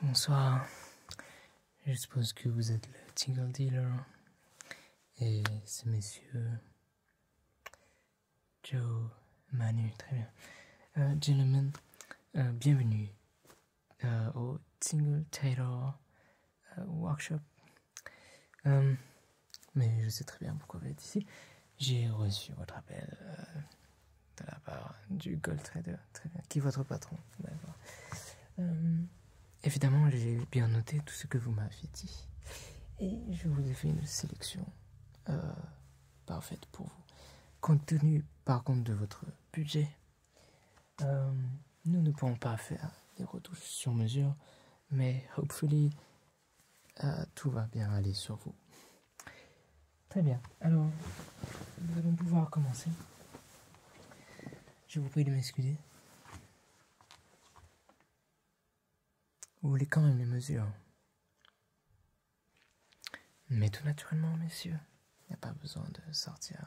Bonsoir. Je suppose que vous êtes le Tingle Dealer. Et c'est monsieur Joe, Manu, très bien. Euh, gentlemen, euh, bienvenue euh, au Tingle Taylor Workshop. Euh, mais je sais très bien pourquoi vous êtes ici. J'ai reçu votre appel euh, de la part du Gold Trader, qui est votre patron. Euh, évidemment, j'ai bien noté tout ce que vous m'avez dit. Et je vous ai fait une sélection parfaite pour vous. Compte tenu, par contre, de votre budget, nous ne pouvons pas faire des retouches sur mesure mais hopefully euh, tout va bien aller sur vous. Très bien, alors nous allons pouvoir commencer. Je vous prie de m'excuser. Vous voulez quand même les mesures. Mais tout naturellement, messieurs. Il n'y a pas besoin de sortir.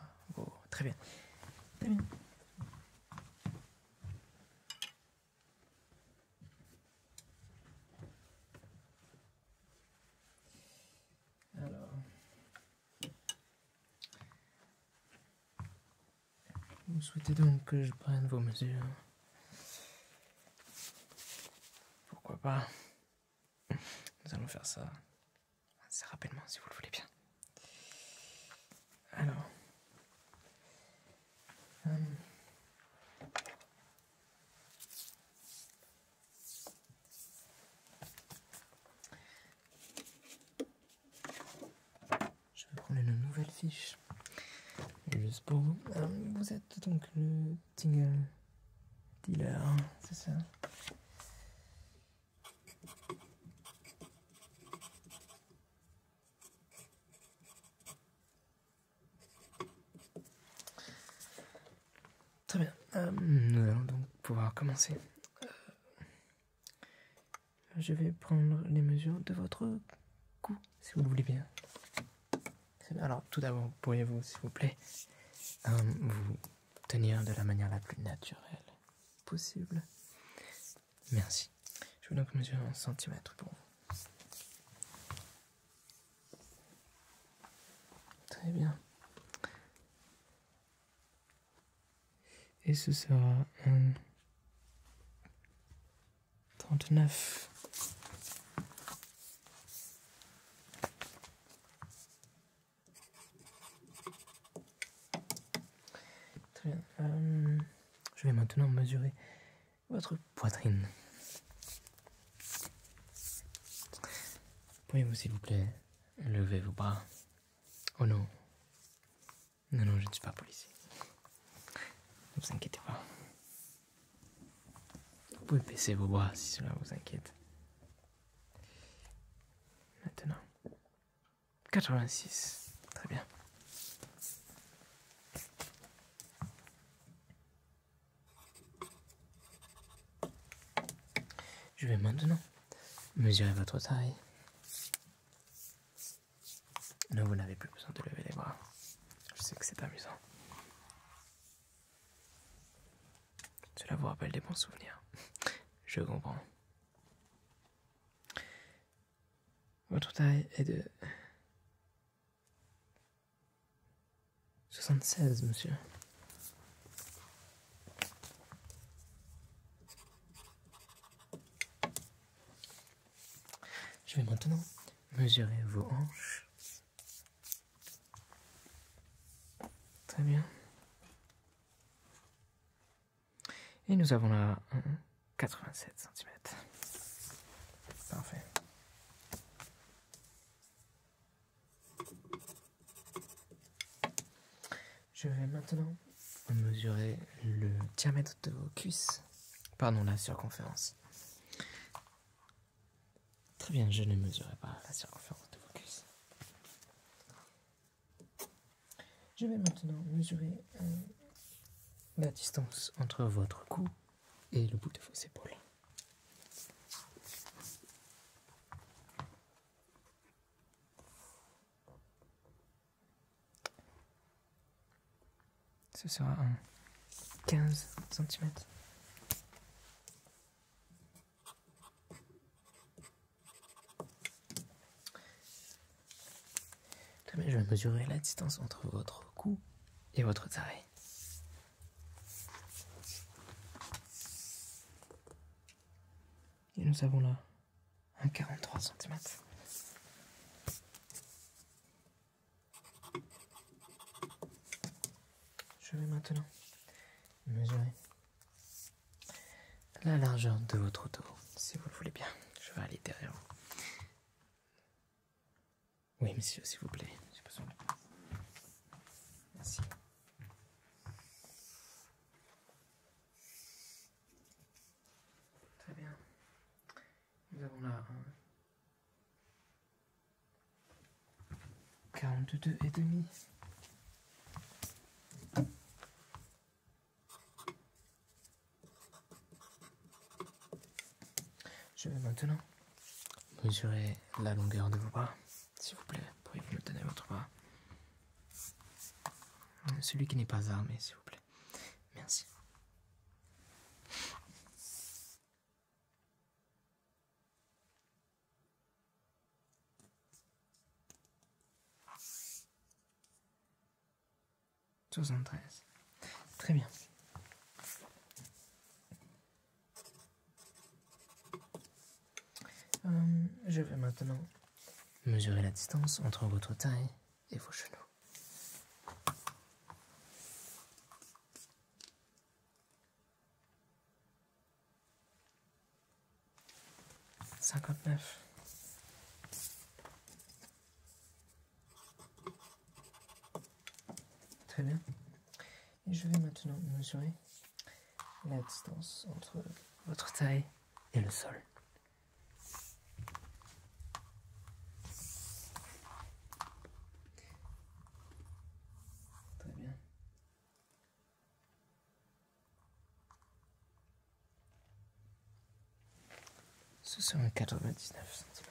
très bien. Très bien. Alors. Vous souhaitez donc que je prenne vos mesures Pourquoi pas Nous allons faire ça assez rapidement si vous le voulez bien. Alors. Hum. Je vais prendre une nouvelle fiche. Juste pour vous. Hum, vous êtes donc le Tingle Dealer, c'est ça Très bien, euh, nous allons donc pouvoir commencer. Euh, je vais prendre les mesures de votre cou, si vous le voulez bien. Alors, tout d'abord, pourriez-vous, s'il vous plaît, euh, vous tenir de la manière la plus naturelle possible Merci. Je vous donc mesurer en centimètres pour vous. Très bien. Et ce sera un 39. Très bien. Euh, je vais maintenant mesurer votre poitrine. pouvez vous s'il vous plaît, lever vos bras Oh non. Non, non, je ne suis pas policier. Ne vous inquiétez pas. Vous pouvez baisser vos bras si cela vous inquiète. Maintenant, 86. Très bien. Je vais maintenant mesurer votre taille. Non, vous n'avez plus besoin de lever les bras. Je sais que c'est amusant. Cela vous rappelle des bons souvenirs. Je comprends. Votre taille est de soixante-seize, monsieur. Je vais maintenant mesurer vos hanches. Très bien. Et nous avons là 87 euh, cm. Parfait. Je vais maintenant mesurer le diamètre de vos cuisses. Pardon, la circonférence. Très bien, je ne mesurerai pas la circonférence de vos cuisses. Je vais maintenant mesurer euh, la distance entre votre cou et le bout de vos épaules. Ce sera 15 cm. Très je vais mesurer la distance entre votre cou et votre taille. Et nous avons là un 43 cm. Je vais maintenant mesurer la largeur de votre tour, si vous le voulez bien. Je vais aller derrière vous. Oui, monsieur, s'il vous plaît. Merci. Très bien. Nous avons là un quarante-deux et demi. Je vais maintenant mesurer la longueur de vos bras. S'il vous plaît, pourriez-vous me donner votre bras Celui qui n'est pas armé, s'il vous plaît. Merci. Très bien. Euh, je vais maintenant mesurer la distance entre votre taille et vos genoux. 59. Très bien. Et je vais maintenant mesurer la distance entre votre taille et le sol. Très bien. Ce sera 99 cm.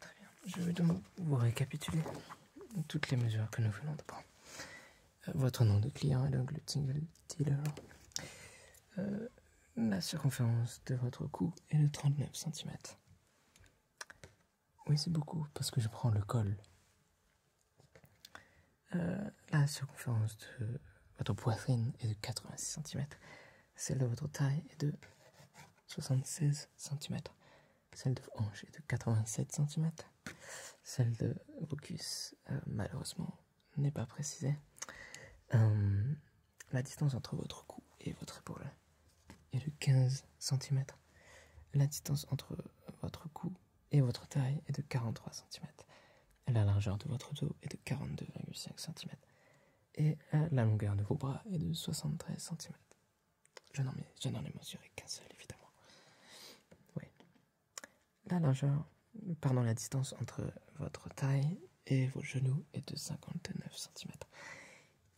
Très bien. Je vais donc vous récapituler toutes les mesures que nous venons de prendre. Euh, votre nom de client est donc le single Dealer. Euh, la circonférence de votre cou est de 39 cm. Oui, c'est beaucoup parce que je prends le col. Euh, la circonférence de votre poitrine est de 86 cm. Celle de votre taille est de 76 cm. Celle de vos hanches est de 87 cm. Celle de vos cuisses, euh, malheureusement, n'est pas précisée. Euh, la distance entre votre cou et votre épaule est de 15 cm. La distance entre votre cou et votre taille est de 43 cm. La largeur de votre dos est de 42,5 cm. Et la longueur de vos bras est de 73 cm. Je n'en ai, mesuré qu'un seul, évidemment. Oui. La largeur, pardon, la distance entre votre taille et vos genoux est de 59 cm.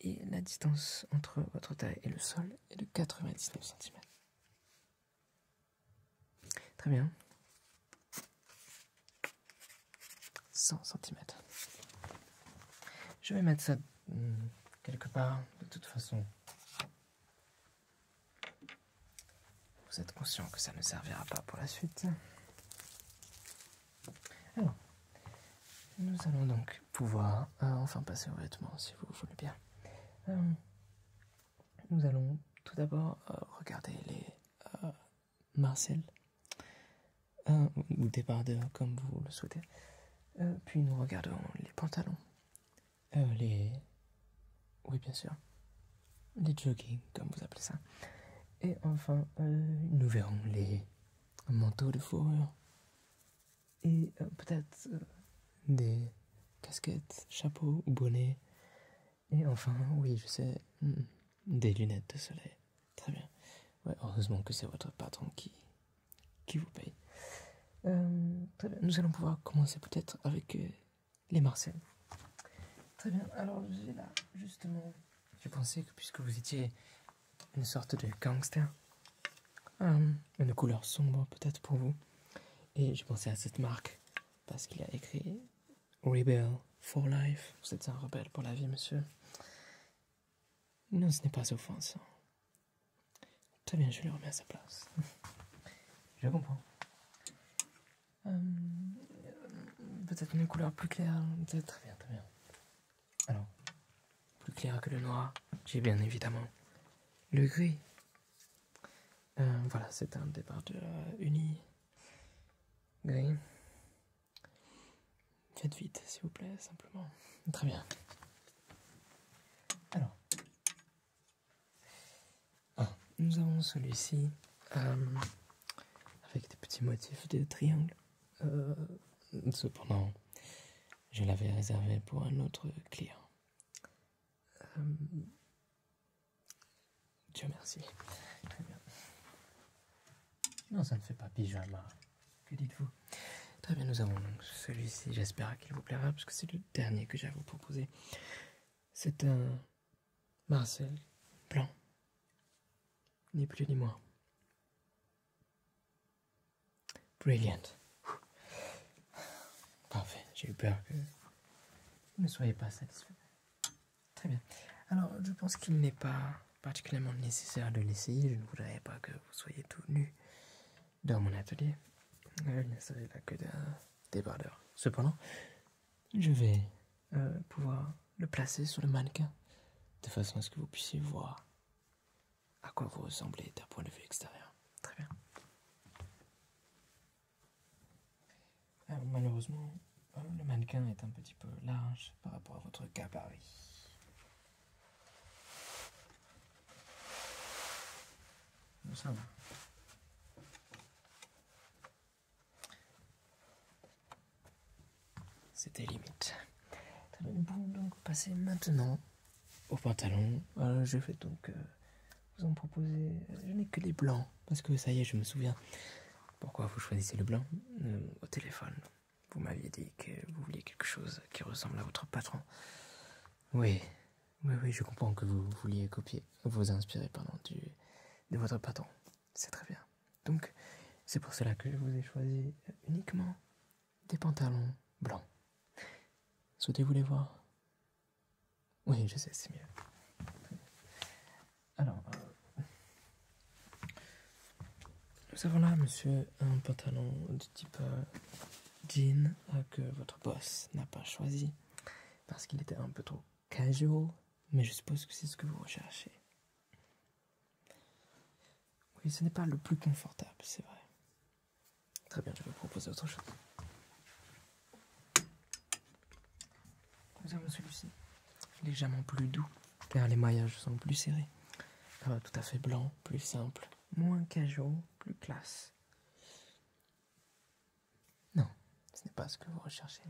Et la distance entre votre taille et le sol est de 99 cm. Très bien. 100 cm. Je vais mettre ça hum, quelque part, de toute façon. Vous êtes conscient que ça ne servira pas pour la suite. Alors, nous allons donc pouvoir euh, enfin passer aux vêtements, si vous voulez bien. Euh, nous allons tout d'abord euh, regarder les Marcel, ou ou comme vous le souhaitez. puis nous regardons les pantalons, les... Oui, bien sûr. Les jogging, comme vous appelez ça. Et enfin, euh, nous verrons les manteaux de fourrure et euh, peut-être euh, des casquettes, chapeaux ou bonnets. Et enfin, oui, je sais, hmm, des lunettes de soleil. Très bien. Ouais, heureusement que c'est votre patron qui, qui vous paye. très bien. Nous allons pouvoir commencer peut-être avec les Marcel. Très bien. Alors, j'ai là justement je pensais que puisque vous étiez une sorte de gangster, hum, une couleur sombre peut-être pour vous, et je pensais à cette marque parce qu'il a écrit Rebel for Life. Vous êtes un rebelle pour la vie, monsieur. Non, ce n'est pas offensant. Très bien, je le remets à sa place. je comprends. Euh, peut-être une couleur plus claire. Très bien, très bien. Alors, plus clair que le noir, j'ai bien évidemment le gris. Euh, voilà, c'est un départ de uni. Gris. Faites vite, s'il vous plaît, simplement. Très bien. Alors. Ah, nous avons celui-ci. Euh, avec des petits motifs de triangle. Euh, cependant, je l'avais réservé pour un autre client. Euh, Dieu merci. Très bien. Non, ça ne fait pas pyjama. Que dites-vous Très bien, nous avons celui-ci. J'espère qu'il vous plaira parce que c'est le dernier que j'ai à vous proposer. C'est un Marcel Blanc. Ni plus ni moins. Brilliant. Parfait, j'ai eu peur que vous ne soyez pas satisfait. Très bien. Alors, je pense qu'il n'est pas particulièrement nécessaire de l'essayer. Je ne voudrais pas que vous soyez tout nu dans mon atelier. Je euh, ne s'agit là que d'un débardeur. Cependant, je vais euh, pouvoir le placer sur le mannequin de façon à ce que vous puissiez voir à quoi vous ressemblez d'un point de vue extérieur. Très bien. Ah, malheureusement, euh, le mannequin est un petit peu large par rapport à votre gabarit. Ça va. C'était limite. Bon, donc passez maintenant au pantalon. Euh, je vais donc euh, vous en proposer. Je n'ai que des blancs, parce que ça y est, je me souviens. Pourquoi vous choisissez le blanc euh, Au téléphone, vous m'aviez dit que vous vouliez quelque chose qui ressemble à votre patron. Oui, oui, oui, je comprends que vous vouliez copier, vous inspirer, pardon, du, de votre patron. C'est très bien. Donc, c'est pour cela que je vous ai choisi uniquement des pantalons blancs. Souhaitez-vous les voir Oui, je sais, c'est mieux. Alors, euh, nous avons là, monsieur, un pantalon de type euh, jean euh, que votre boss n'a pas choisi parce qu'il était un peu trop casual, mais je suppose que c'est ce que vous recherchez. Oui, ce n'est pas le plus confortable, c'est vrai. Très bien, je vais vous proposer autre chose. Nous avons celui-ci, légèrement plus doux, car les maillages sont plus serrés. Euh, tout à fait blanc, plus simple, moins casual, plus classe. Non, ce n'est pas ce que vous recherchez.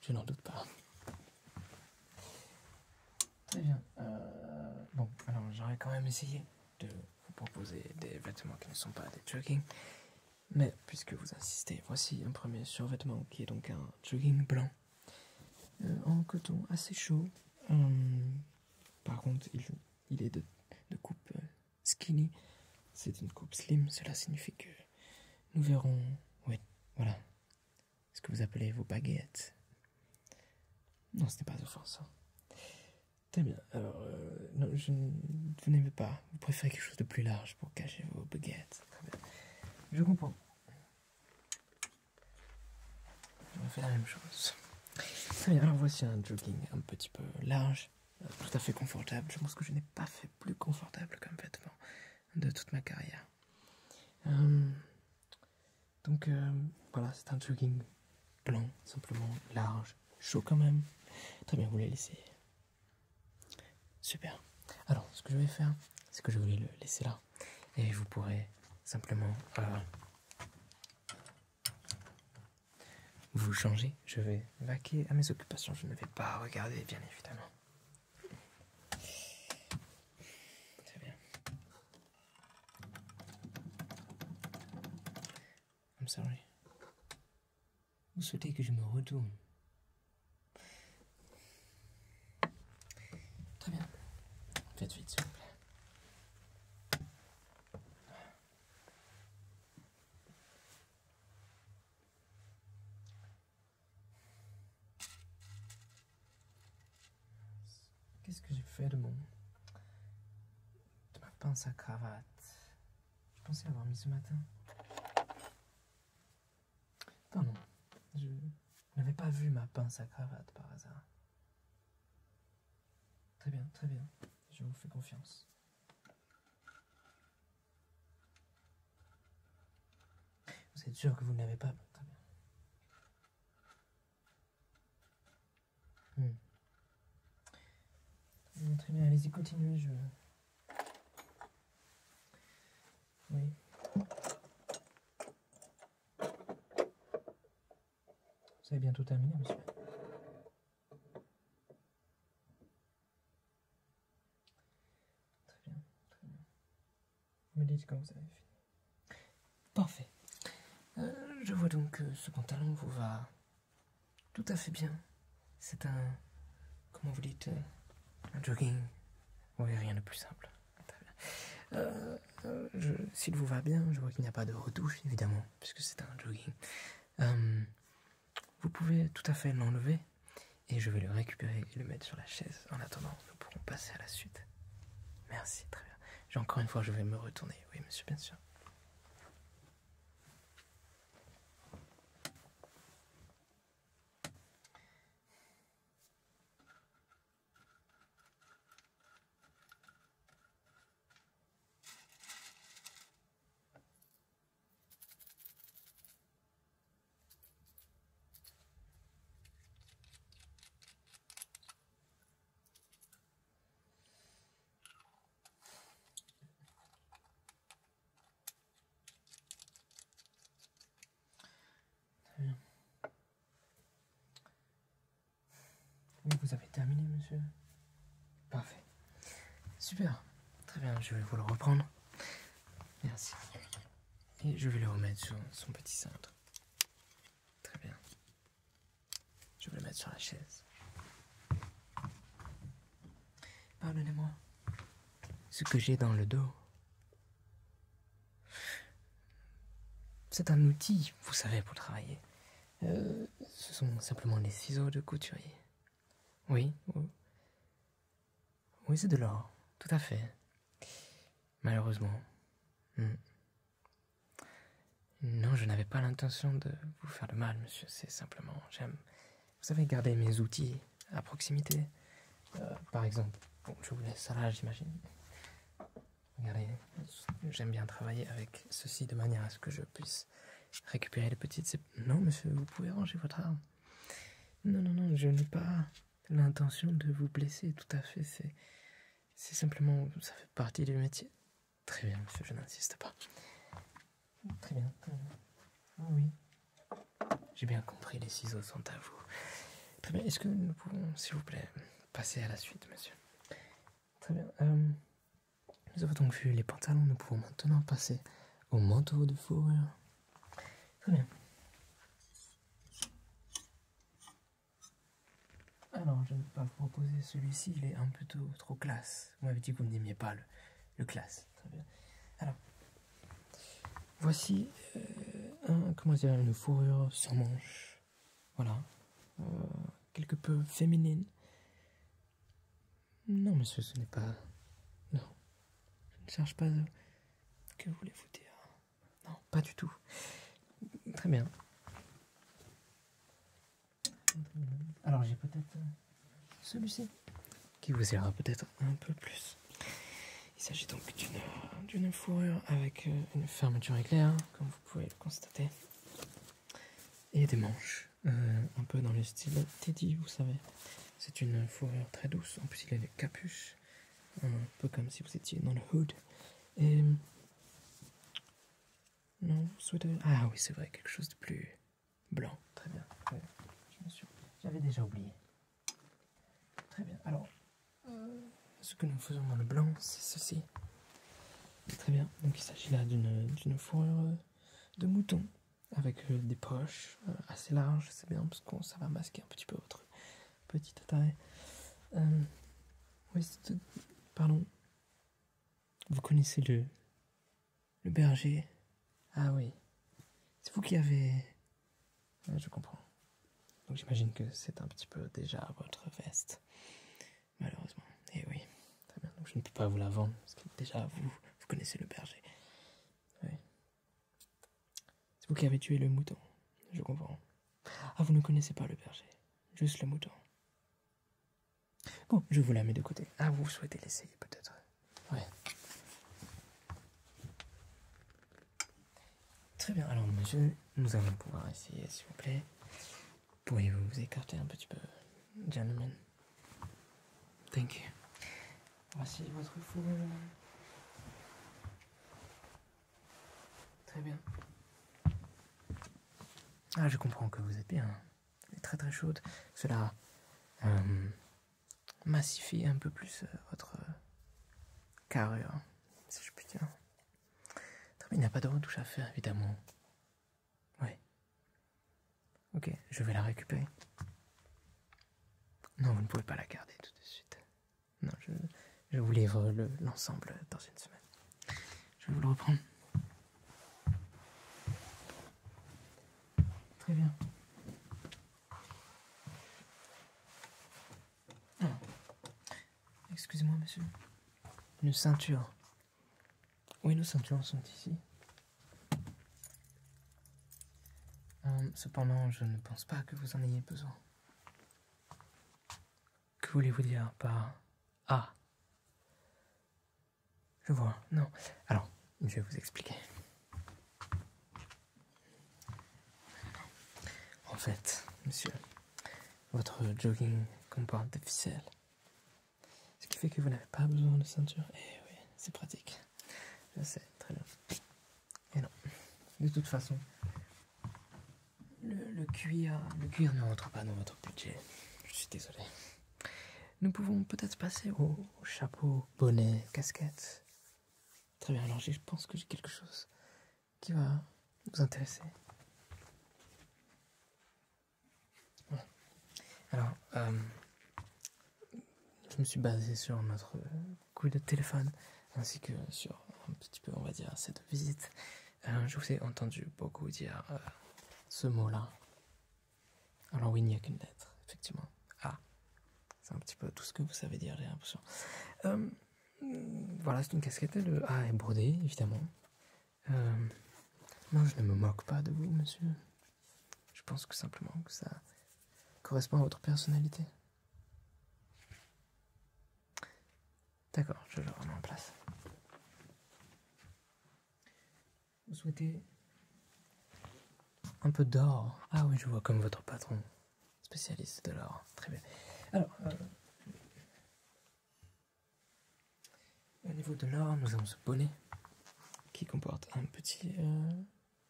Je n'en doute pas. Très bien. Euh, bon, alors j'aurais quand même essayé de vous proposer des vêtements qui ne sont pas des jogging. Mais puisque vous insistez, voici un premier survêtement qui est donc un jogging blanc euh, en coton assez chaud. Euh, par contre, il, est de coupe skinny. C'est une coupe slim, cela signifie que nous verrons, oui, voilà, ce que vous appelez vos baguettes. Non, ce n'est pas offensant. Hein. Très bien, alors, euh, vous n'aimez pas, vous préférez quelque chose de plus large pour cacher vos baguettes. Très bien. Je comprends. va faire la même chose. Très bien, alors voici un jogging un petit peu large tout à fait confortable. Je pense que je n'ai pas fait plus confortable comme vêtement de toute ma carrière. Euh, donc euh, voilà, c'est un jogging blanc, simplement large, chaud quand même. Très bien, vous voulez laissez. Super. Alors, ce que je vais faire, c'est que je vais le laisser là. Et vous pourrez simplement euh, vous changez, Je vais vaquer à mes occupations. Je ne vais pas regarder, bien évidemment. Très bien. I'm sorry. Vous souhaitez que je me retourne Très bien. Faites vite, s'il vous plaît. Qu'est-ce que j'ai fait de mon... de ma pince à cravate Je pensais l'avoir mis ce matin. non, je n'avais pas vu ma pince à cravate par hasard. Très bien, très bien. Je vous fais confiance. Vous êtes sûr que vous ne l'avez pas Très bien. Hmm. Hmm, très bien, allez-y, continuez. Je... Oui. Vous avez bientôt terminé, monsieur. Très bien, très bien. Vous me dites quand vous avez fini. Parfait. Euh, je vois donc que ce pantalon vous va tout à fait bien. C'est un, comment vous dites, euh, un jogging. Oui, rien de plus simple. Très bien. Euh, s'il vous va bien, je vois qu'il n'y a pas de retouche, évidemment, puisque c'est un jogging. Vous pouvez tout à fait l'enlever et je vais le récupérer et le mettre sur la chaise. En attendant, nous pourrons passer à la suite. Merci, très bien. encore une fois, je vais me retourner. Oui, monsieur, bien sûr vous avez terminé, monsieur Parfait. Super. Très bien, je vais vous le reprendre. Merci. Et je vais le remettre sur son petit cintre. Très bien. Je vais le mettre sur la chaise. Pardonnez-moi. Ce que j'ai dans le dos. C'est un outil, vous savez, pour travailler. Euh, ce sont simplement les ciseaux de couturier. Oui. Oui, c'est de l'or. Tout à fait. Malheureusement. Hmm. Non, je n'avais pas l'intention de vous faire de mal, monsieur. C'est simplement, j'aime, vous savez, garder mes outils à proximité. Euh, par exemple, je vous laisse ça là, j'imagine. Regardez, j'aime bien travailler avec ceci de manière à ce que je puisse Récupérer les petites... Non, monsieur, vous pouvez ranger votre arme. Non, non, non, je n'ai pas l'intention de vous blesser, tout à fait. C'est simplement... Ça fait partie du métier. Très bien, monsieur, je n'insiste pas. Très bien, euh, oui. J'ai bien compris, les ciseaux sont à vous. Très bien, est-ce que nous pouvons, s'il vous plaît, passer à la suite, monsieur Très bien. Euh, nous avons donc vu les pantalons, nous pouvons maintenant passer au manteau de fourrure. Très bien. Alors, je ne vais pas vous proposer celui-ci, il est un peu trop classe. Vous m'avez dit que vous n'aimiez pas le, classe. Très bien. Alors, voici euh, un, comment dire, une fourrure sans manche. Voilà. Euh, quelque peu féminine. Non, monsieur, ce n'est pas. Non. Je ne cherche pas de. Euh, que voulez-vous dire Non, pas du tout. Très bien. Alors, j'ai peut-être euh, celui-ci qui vous ira peut-être un peu plus. Il s'agit donc d'une fourrure avec euh, une fermeture éclair, comme vous pouvez le constater et des manches, euh, un peu dans le style Teddy, vous savez. C'est une fourrure très douce, en plus il a une capuche, un peu comme si vous étiez dans le hood. Et. Non, souhaitez, Ah oui, c'est vrai, quelque chose de plus blanc. Très bien. J'avais déjà oublié. Très bien. Alors, euh, ce que nous faisons dans le blanc, c'est ceci. Très bien. Donc il s'agit là d'une fourrure de mouton avec euh, des poches euh, assez larges, c'est bien parce qu'on ça va masquer un petit peu votre petit taille euh, pardon. Vous connaissez le le berger Ah oui, c'est vous qui avez. je comprends. Donc j'imagine que c'est un petit peu déjà votre veste malheureusement. Et eh oui, très bien. Donc je ne peux pas vous la vendre parce que déjà vous, vous connaissez le berger. Oui. C'est vous qui avez tué le mouton. Je comprends. Ah, vous ne connaissez pas le berger, juste le mouton. Bon, je vous la mets de côté. Ah, vous souhaitez l'essayer peut-être. Ouais. Très bien, alors monsieur, nous allons pouvoir essayer, s'il vous plaît. Pourriez-vous vous écarter un petit peu, gentlemen? Thank you. Voici votre fourrure. Très bien. Ah, je comprends que vous êtes bien. Elle est très très chaude. Cela euh, massifie un peu plus euh, votre euh, carrure, si je puis dire. il n'y a pas de retouche à faire, évidemment. Oui. Ok, je vais la récupérer. Non, vous ne pouvez pas la garder tout de suite. Non, je, vous livre l'ensemble dans une semaine. Je vais vous le reprendre. Très bien. Ah. Excusez-moi, monsieur. Une ceinture oui, nos ceintures sont ici. Hum, cependant, je ne pense pas que vous en ayez besoin. Que voulez-vous dire par Ah Je vois, non. Alors, je vais vous expliquer. En fait, monsieur, votre jogging comporte des ficelles. Ce qui fait que vous n'avez pas besoin de ceinture. Et eh oui, c'est pratique. Je sais, très bien. Et non, de toute façon, le, cuir, le cuir ne rentre pas dans votre budget. Je suis désolé. Nous pouvons peut-être passer au, chapeau, bonnet, casquette. Très bien, alors je pense que j'ai quelque chose qui va vous intéresser. Alors, euh, je me suis basé sur notre coup de téléphone, ainsi que sur un petit peu, on va dire, cette visite. Euh, je vous ai entendu beaucoup dire euh, ce mot-là. Alors oui, il n'y a qu'une lettre, effectivement. A. Ah, c'est un petit peu tout ce que vous savez dire, j'ai l'impression. voilà, c'est une casquette. Le A est brodé, évidemment. Euh, non, je ne me moque pas de vous, monsieur. Je pense que simplement que ça correspond à votre personnalité. D'accord, je le remets en place. Vous souhaitez un peu d'or Ah oui, je vois comme votre patron, spécialiste de l'or. Très bien. Alors, euh, au niveau de l'or, nous avons ce bonnet qui comporte un petit euh,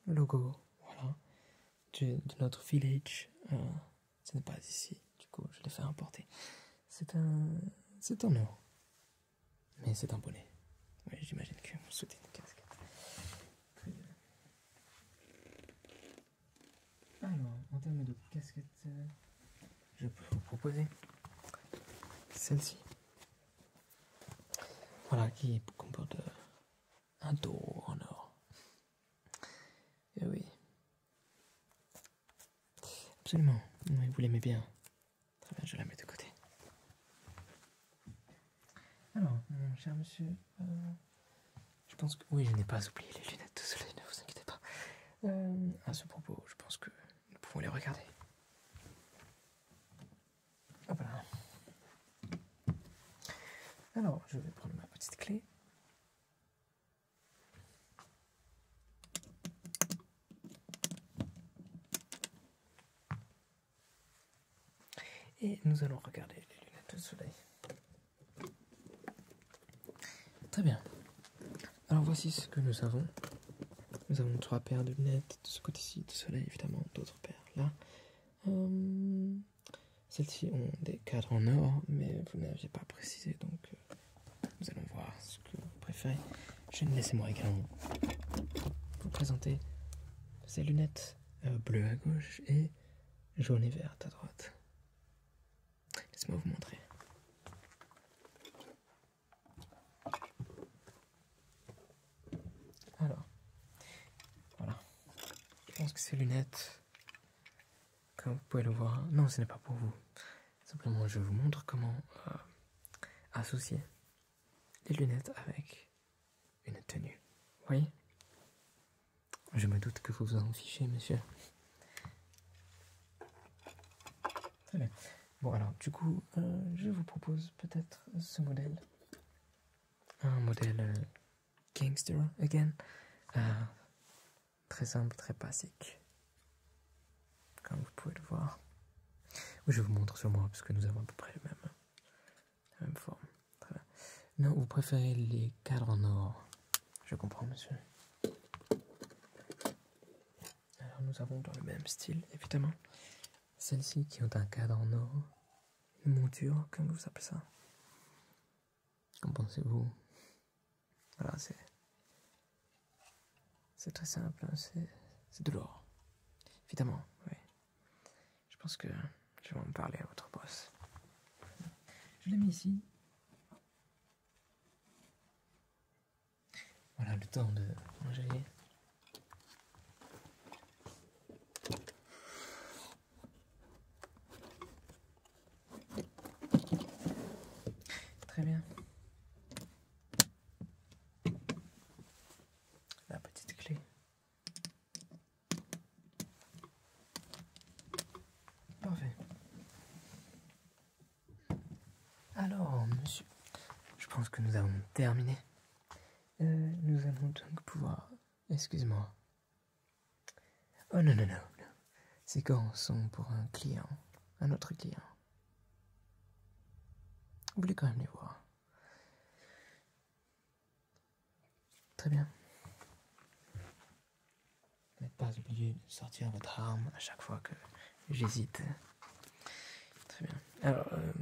logo de, notre village. Euh, ce n'est pas ici, du coup, je l'ai fait importer. C'est un, c'est un or, mais c'est un bonnet. Oui, j'imagine que vous souhaitez une casquette. Alors, en termes de casquette, euh, je peux vous proposer celle-ci. Voilà, qui comporte euh, un dos en or. Et eh oui. Absolument. vous l'aimez bien. Très bien, je la mets de côté. Alors, cher monsieur, euh, je pense que... Oui, je n'ai pas oublié les lunettes soleil ne vous inquiétez pas. Euh, à ce propos, je pense que nous pouvons les regarder. Ah, Alors, je vais prendre ma petite clé. Et nous allons regarder les lunettes de soleil. Très bien. Alors voici ce que nous avons. Nous avons trois paires de lunettes de ce côté-ci, de soleil évidemment, d'autres paires là. Euh, celles-ci ont des cadres en or, mais vous n'aviez pas précisé, donc euh, nous allons voir ce que vous préférez. Je laisser moi également vous présenter ces lunettes euh, bleues à gauche et jaunes et vertes à droite laissez moi vous montrer. Alors, voilà. Je pense que ces lunettes, comme vous pouvez le voir, non, ce n'est pas pour vous. Simplement, je vous montre comment euh, associer les lunettes avec une tenue. Vous voyez Je me doute que vous vous en fichez, monsieur. Bon, alors, du coup, euh, je vous propose peut-être ce modèle. Un modèle euh, gangster, again. Euh, très simple, très basique. Comme vous pouvez le voir. je vous montre sur moi, parce que nous avons à peu près la même forme. Non, vous préférez les cadres en or je comprends, monsieur. Alors, nous avons dans le même style, évidemment, celles-ci qui ont un cadre en or, une monture, comment vous appelez ça Qu'en pensez-vous Voilà, c'est. C'est très simple, hein, c'est, c'est de l'or. Évidemment, oui. Je pense que je vais en parler à votre boss. Je l'ai mis ici. Voilà le temps de manger. Très bien. La petite clé. Parfait. Alors, monsieur, je pense que nous avons terminé. Euh, nous allons donc pouvoir... Excuse-moi. Oh non, non, non. non. Ces sont pour un client, un autre client. Vous voulez quand même les voir. Très bien n'êtes pas obligé de sortir votre arme à chaque fois que j'hésite. Très bien. Alors, euh,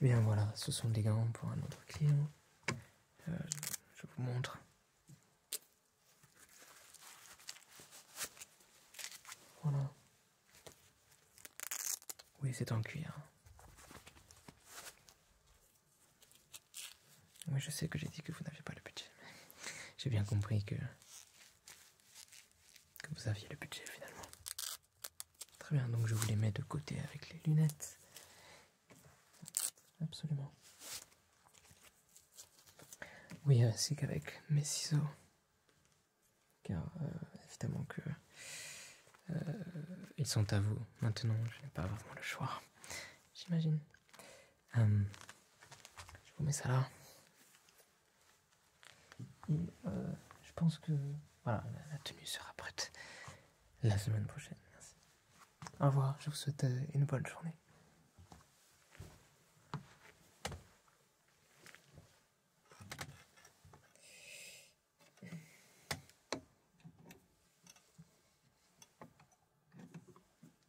eh bien voilà, ce sont des gants pour un autre client. Euh, je vous montre. Voilà. Oui, c'est en cuir. Oui, je sais que j'ai dit que vous n'aviez pas le budget. mais J'ai bien compris que... vous aviez le budget finalement. Très bien, donc je vous les mets de côté avec les lunettes. Absolument. Oui, euh, c'est qu'avec mes ciseaux. Car euh, évidemment que... Euh, ils sont à vous maintenant, je n'ai pas vraiment le choix, j'imagine. Euh, je vous mets ça là. Et euh, je pense que voilà, la, tenue sera prête la semaine prochaine. Au revoir, je vous souhaite euh, une bonne journée.